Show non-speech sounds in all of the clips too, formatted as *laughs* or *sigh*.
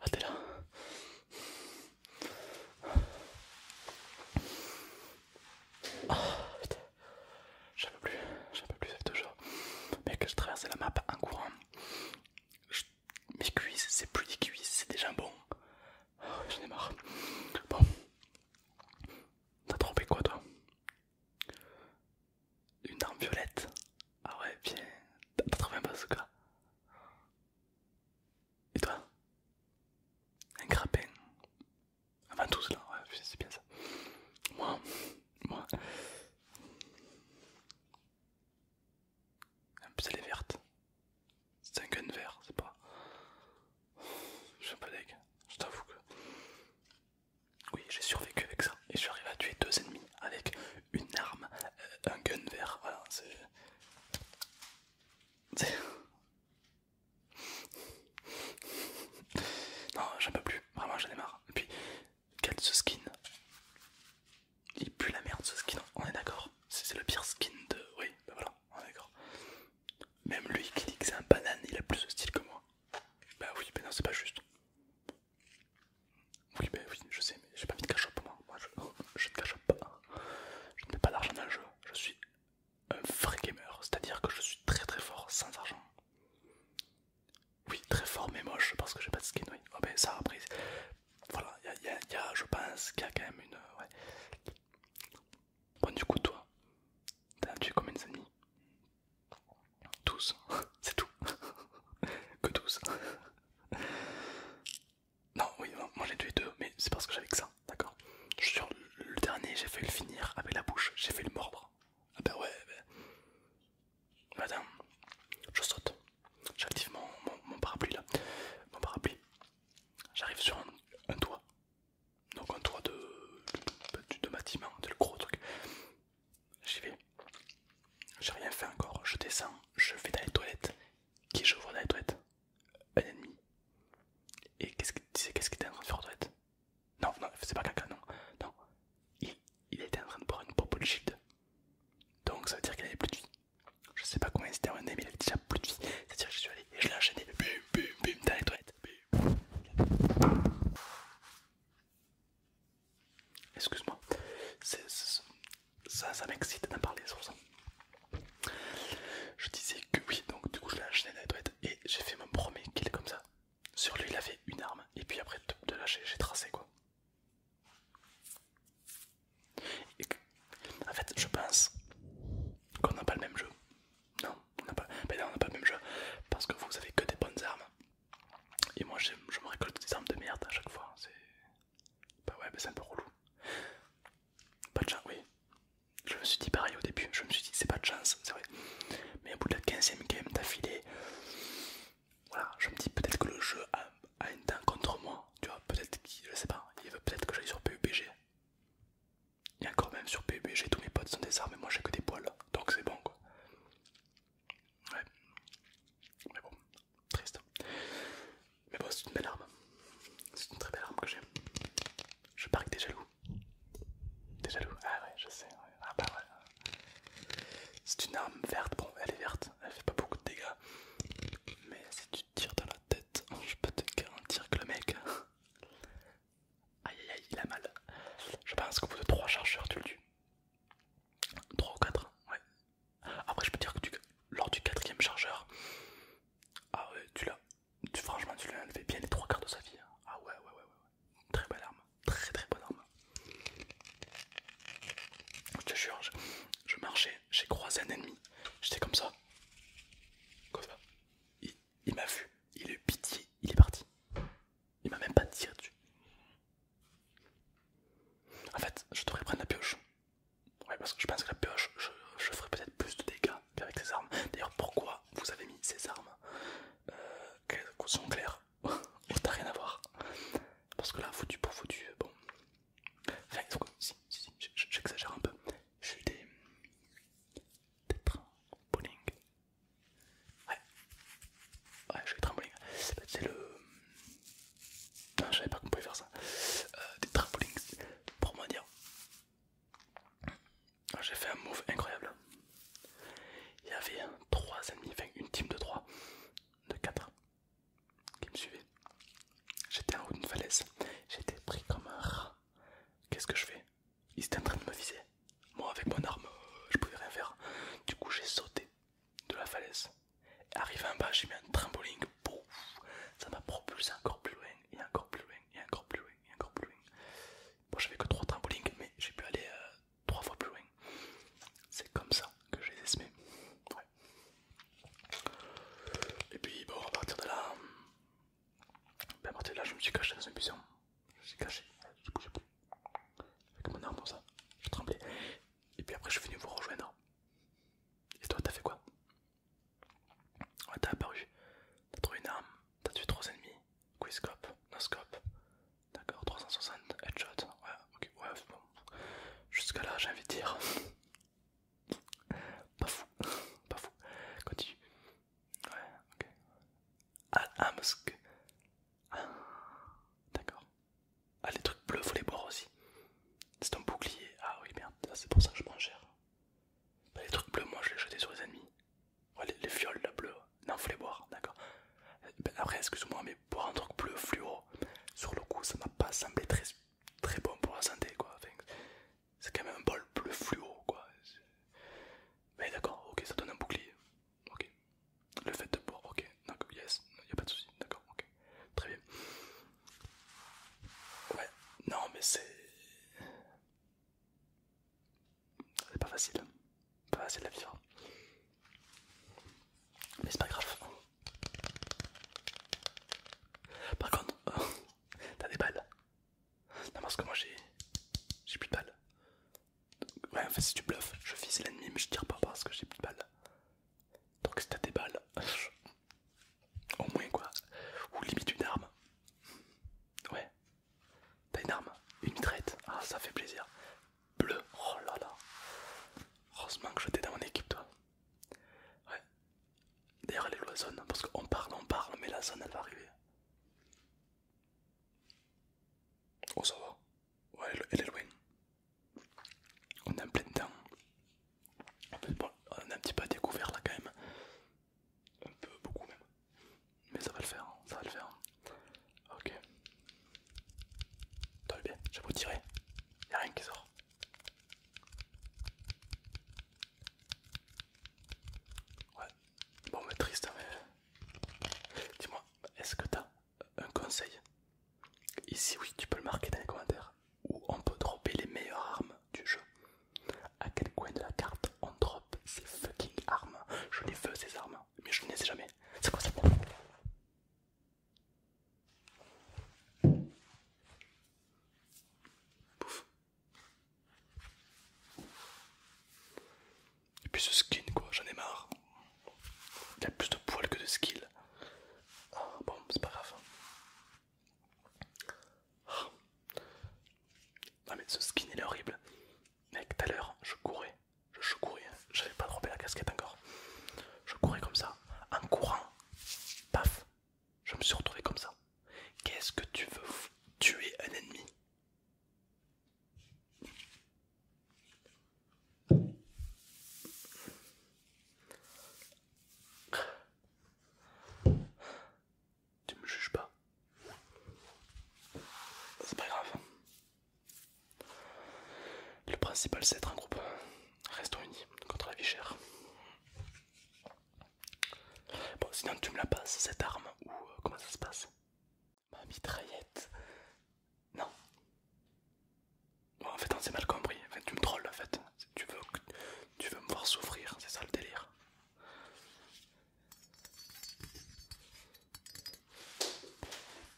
Ah, t'es là. J'en peux plus, j'en peux plus, Mec toujours. Mec, je traversais la map en courant. Mes cuisses, c'est plus des cuisses, c'est des bon. Je ah, J'en ai marre. Bon. T'as trompé quoi, toi une arme violette. Ah ouais, bien. T'as trouvé un bazooka. Et toi Un grappin. Avant tous là, ouais, c'est bien ça. Moi, moi. elle est verte. C'est un gun vert, c'est pas. Je suis un peu deg, je t'avoue que. Oui, j'ai survécu avec ça et je suis arrivé à tuer deux ennemis avec une arme, euh, un gun vert. Voilà, c'est. *laughs* non, j'en peux plus, vraiment j'en ai marre. Et puis, quel ce skin Il pue la merde ce skin, on est d'accord. C'est le pire skin de. Oui, ben voilà, on est d'accord. Même lui qui dit que c'est un banane, il a plus ce style que moi. Bah oui, mais non, c'est pas juste. Oui, ben oui, je sais, mais j'ai pas envie de cash pour moi. Moi, je, oh, ne cache pas. Je ne mets pas d'argent dans le jeu. Je suis un vrai gamer, c'est-à-dire que je suis très très fort sans argent. Oui, très fort mais moche parce que j'ai pas de skin. Oui, oh, ben ça reprise, voilà, il y a, je pense qu'il y a quand même une. Euh, ouais. Bon, du coup, toi, tu es combien de amis 12, *laughs* c'est tout. *laughs* que tous. non, oui, moi j'ai tué deux, mais c'est parce que j'avais que ça, d'accord Sur le dernier, j'ai fait le finir avec la bouche, j'ai fait le mordre. Ah bah ouais, Madame, bah. Bah, je saute. J'active mon, parapluie là. Mon parapluie. J'arrive sur un, toit. Donc un toit de, de, de bâtiment, le gros truc. J'y vais. J'ai rien fait encore. Je descends, je vais dans les toilettes. Qui j'ouvre vois dans les toilettes Un ennemi. Et qu'est-ce qu'il disait Qu'est-ce qu'il était en train de faire aux toilettes Non, non, c'est pas caca, non. Non. Il, était en train de boire une de shield. Donc ça veut dire qu'il avait plus de vie. Je sais pas combien c'était un ennemi, mais il avait déjà plus de vie. C'est-à-dire que je suis allé et je l'ai enchaîné. Bim, bim, bim, dans les toilettes. Excuse-moi, ça, ça m'excite d'en parler Je disais que oui, donc du coup je l'ai acheté dans les toilettes et j'ai fait mon qu'il est comme ça. Sur lui il avait une arme et puis après de, lâcher j'ai tracé quoi. en fait je pense qu'on n'a pas le même jeu. Non, on n'a pas, ben on n'a pas le même jeu parce que vous avez que des bonnes armes et moi je, me récolte des armes de merde à chaque fois. C'est. Bah ouais, c'est un peu relou. Pas de chance, oui. Je me suis dit pareil au début, je me suis dit c'est pas de chance, c'est vrai. Mais au bout de la 15ème game d'affilée, voilà, je me dis peut-être que le jeu a, un une contre moi, tu vois, peut-être qu'il, je sais pas, il veut peut-être que j'aille sur PUBG. Et encore même sur PUBG, tous mes potes sont des armes et moi j'ai que des poils, donc c'est bon quoi. Ouais. Mais bon, triste. Mais bon, c'est une belle arme. C'est une très belle arme que j'ai. Je parie des jaloux. des jaloux Ah ouais, je sais. Ah bah C'est une arme verte. Bon, elle est verte. Elle fait pas beaucoup de dégâts. Mais si tu tires dans la tête, je peux te garantir que le mec... *laughs* Aïe aïe aïe, il a mal. Je pense qu'au bout de 3 chargeurs, tu le tues. 3 ou 4, ouais. Après, je peux dire que tu, lors du quatrième chargeur, ah ouais, tu l'as, franchement, tu l'as enlevé bien les trois quarts de sa vie. Hein. Ah ouais, ouais, ouais, ouais, Très belle arme, très très bonne arme. Je te jure, je, marchais, j'ai croisé un ennemi, j'étais comme ça. Comme ça. Il, il m'a vu, il est eu pitié, il est parti. Il m'a même pas tiré dessus. En fait, je devrais prendre la pioche. Ouais, parce que je pense que la pioche, je, ferai peut-être plus de dégâts avec ces armes. D'ailleurs, pourquoi vous avez mis ces armes euh, Quelle qu'elles sont claires n'a *laughs* oh, rien à voir. Parce que là, foutu pour foutu, euh, bon. Enfin, si, si j'exagère un peu. Je suis des. des trains, bowling, Ouais. Ouais, je fais des trampolines. C'est le. Non, je savais pas qu'on pouvait faire ça. Euh, des trampolines, pour moi dire. Ah, j'ai fait un move incroyable. Il y avait 3 ennemis, enfin une team de 3, de 4 qui me suivaient. J'étais en haut d'une falaise, j'étais pris comme un rat. Qu'est-ce que je fais Ils étaient en train de me viser. Moi, avec mon arme, euh, je pouvais rien faire. Du coup, j'ai sauté de la falaise. Arrivé en bas, j'ai mis un trampoline, ça m'a propulsé encore plus loin, et encore plus loin, et encore plus loin, et encore plus loin. Bon, j'avais que trois trampolines, mais j'ai pu aller euh, trois fois plus loin. C'est comme ça que je les ai semés. Et puis, bon, à partir de là, ben, à partir de là, je me suis caché dans un buisson j'ai caché, je coup j'ai pris avec mon arme comme ça, je tremblais. Et puis après je suis venu vous rejoindre. Et toi t'as fait quoi Ouais t'as apparu, t'as trouvé une arme, t'as tué trois ennemis, quizcope, noscope scope, d'accord, 360, headshot, ouais, ok, ouais, bon. Jusqu'à là j'ai envie de dire. *laughs* pas fou, *laughs* pas fou, continue. Ouais, ok. Al ah, d'accord. Ah, les trucs bleus, faut les boire aussi. C'est un bouclier. Ah oui, merde, ah, c'est pour ça que je prends cher. Bah, les trucs bleus, moi je les jetais sur les ennemis. les, fioles là bleues. Non, faut les boire, d'accord. Euh, bah, après, excuse-moi, mais boire un truc bleu fluo, sur le coup, ça m'a pas semblé très, bon pour la santé, quoi. c'est quand même un bol bleu fluo, quoi. Mais d'accord, ok, ça donne un bouclier ok. Le fait de boire, ok, Donc yes, y a pas de soucis d'accord, ok, très bien. Ouais, non mais c'est... C'est pas facile, hein. pas facile à vivre. Hein. Mais c'est pas grave. Par contre, *laughs* t'as des balles. Non parce que moi j'ai... J'ai plus de balles. Ouais, en fait, si tu bluffes, je vise l'ennemi, mais je tire pas parce que j'ai plus de balles. Donc, si t'as des balles, *laughs* au moins quoi, ou limite une arme. Ouais, t'as une arme, une mitraillette, ah, ça fait plaisir. Bleu, oh là là, heureusement que j'étais dans mon équipe, toi. Ouais, d'ailleurs, elle est où zone Parce qu'on parle, on parle, mais la zone elle va arriver. Oh, ça va. Ouais, elle est loin. On est en plein temps. On a un petit peu découvert là quand même. Un peu, beaucoup même. Mais ça va le faire, hein. ça va le faire. Hein. Ok. T'as bien, vais vous tirer. Y'a rien qui sort. Ouais. Bon hein, mais triste euh, mais. Dis-moi, est-ce que t'as un conseil Ici oui, tu peux le marquer dans les commentaires où on peut dropper les meilleures armes du jeu. À quel coin de la carte on drop ces fucking armes Je les veux ces armes, mais je ne les ai jamais. C'est quoi ça et puis ce skin, quoi, j'en ai marre. Il a plus de poils que de skill. Ah, bon, c'est pas grave. Ah. non mais ce skin il est horrible. Mec, tout à l'heure, je courais. Je, je courais, j'avais pas droppé la casquette encore. Je courais comme ça, en courant. Paf, je me suis retrouvé comme ça. Qu'est-ce que tu veux tuer un ennemi tu me juges pas. C'est pas grave. Le principal c'est être un groupe. Restons unis contre la vie chère. Bon, sinon tu me la passes, cette arme, ou euh, comment ça se passe Ma mitraillette. Non. en fait, on hein, s'est mal compris. Enfin, tu me trolles en fait. Tu veux, tu veux me voir souffrir, c'est ça le délire.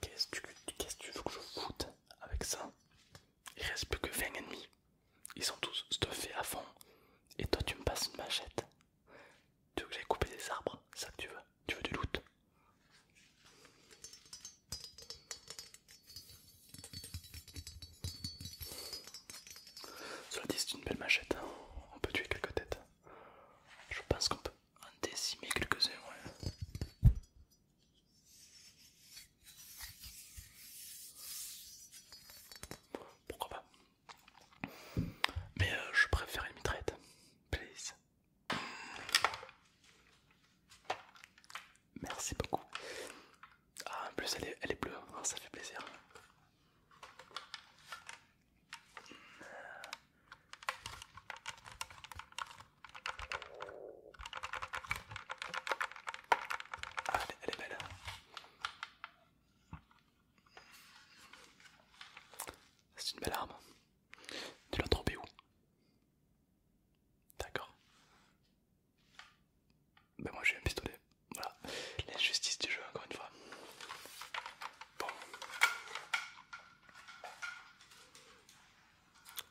Qu'est-ce que tu veux que je foute avec ça Il reste plus que 20 ennemis. Ils sont tous stuffés à fond. Et toi, tu me passes une machette. Tu veux que j'aille couper des arbres Ça que tu veux Tu veux du loot Cela dit, c'est une belle machette. Hein. On peut tuer quelques têtes. Je pense qu'on peut en décimer quelques-uns. Pourquoi pas mais euh, je préfère une traite please. Merci beaucoup. Ah, en plus, elle est, elle est bleue, hein, ça fait plaisir. Ah, elle est belle. C'est une belle arme. Tu l'as trompé où D'accord. Ben moi j'ai un pistolet. Voilà. L'injustice du jeu encore une fois. Bon.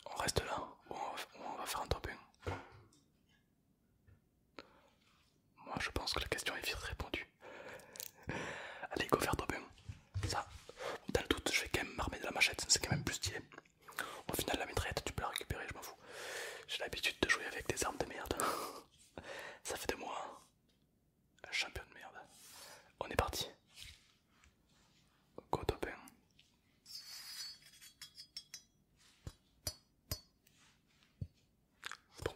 On reste là ou on va faire un top Moi je pense que la question est vite répondue. Allez, go faire toi hein. Ça, dans le doute, je vais quand même m'armer de la machette, c'est quand même plus stylé. Au final, la mitraillette, tu peux la récupérer, je m'en fous. J'ai l'habitude de jouer avec des armes de merde. *laughs* Ça fait de moi un champion de merde. On est parti. Go topin. Hein. Bon,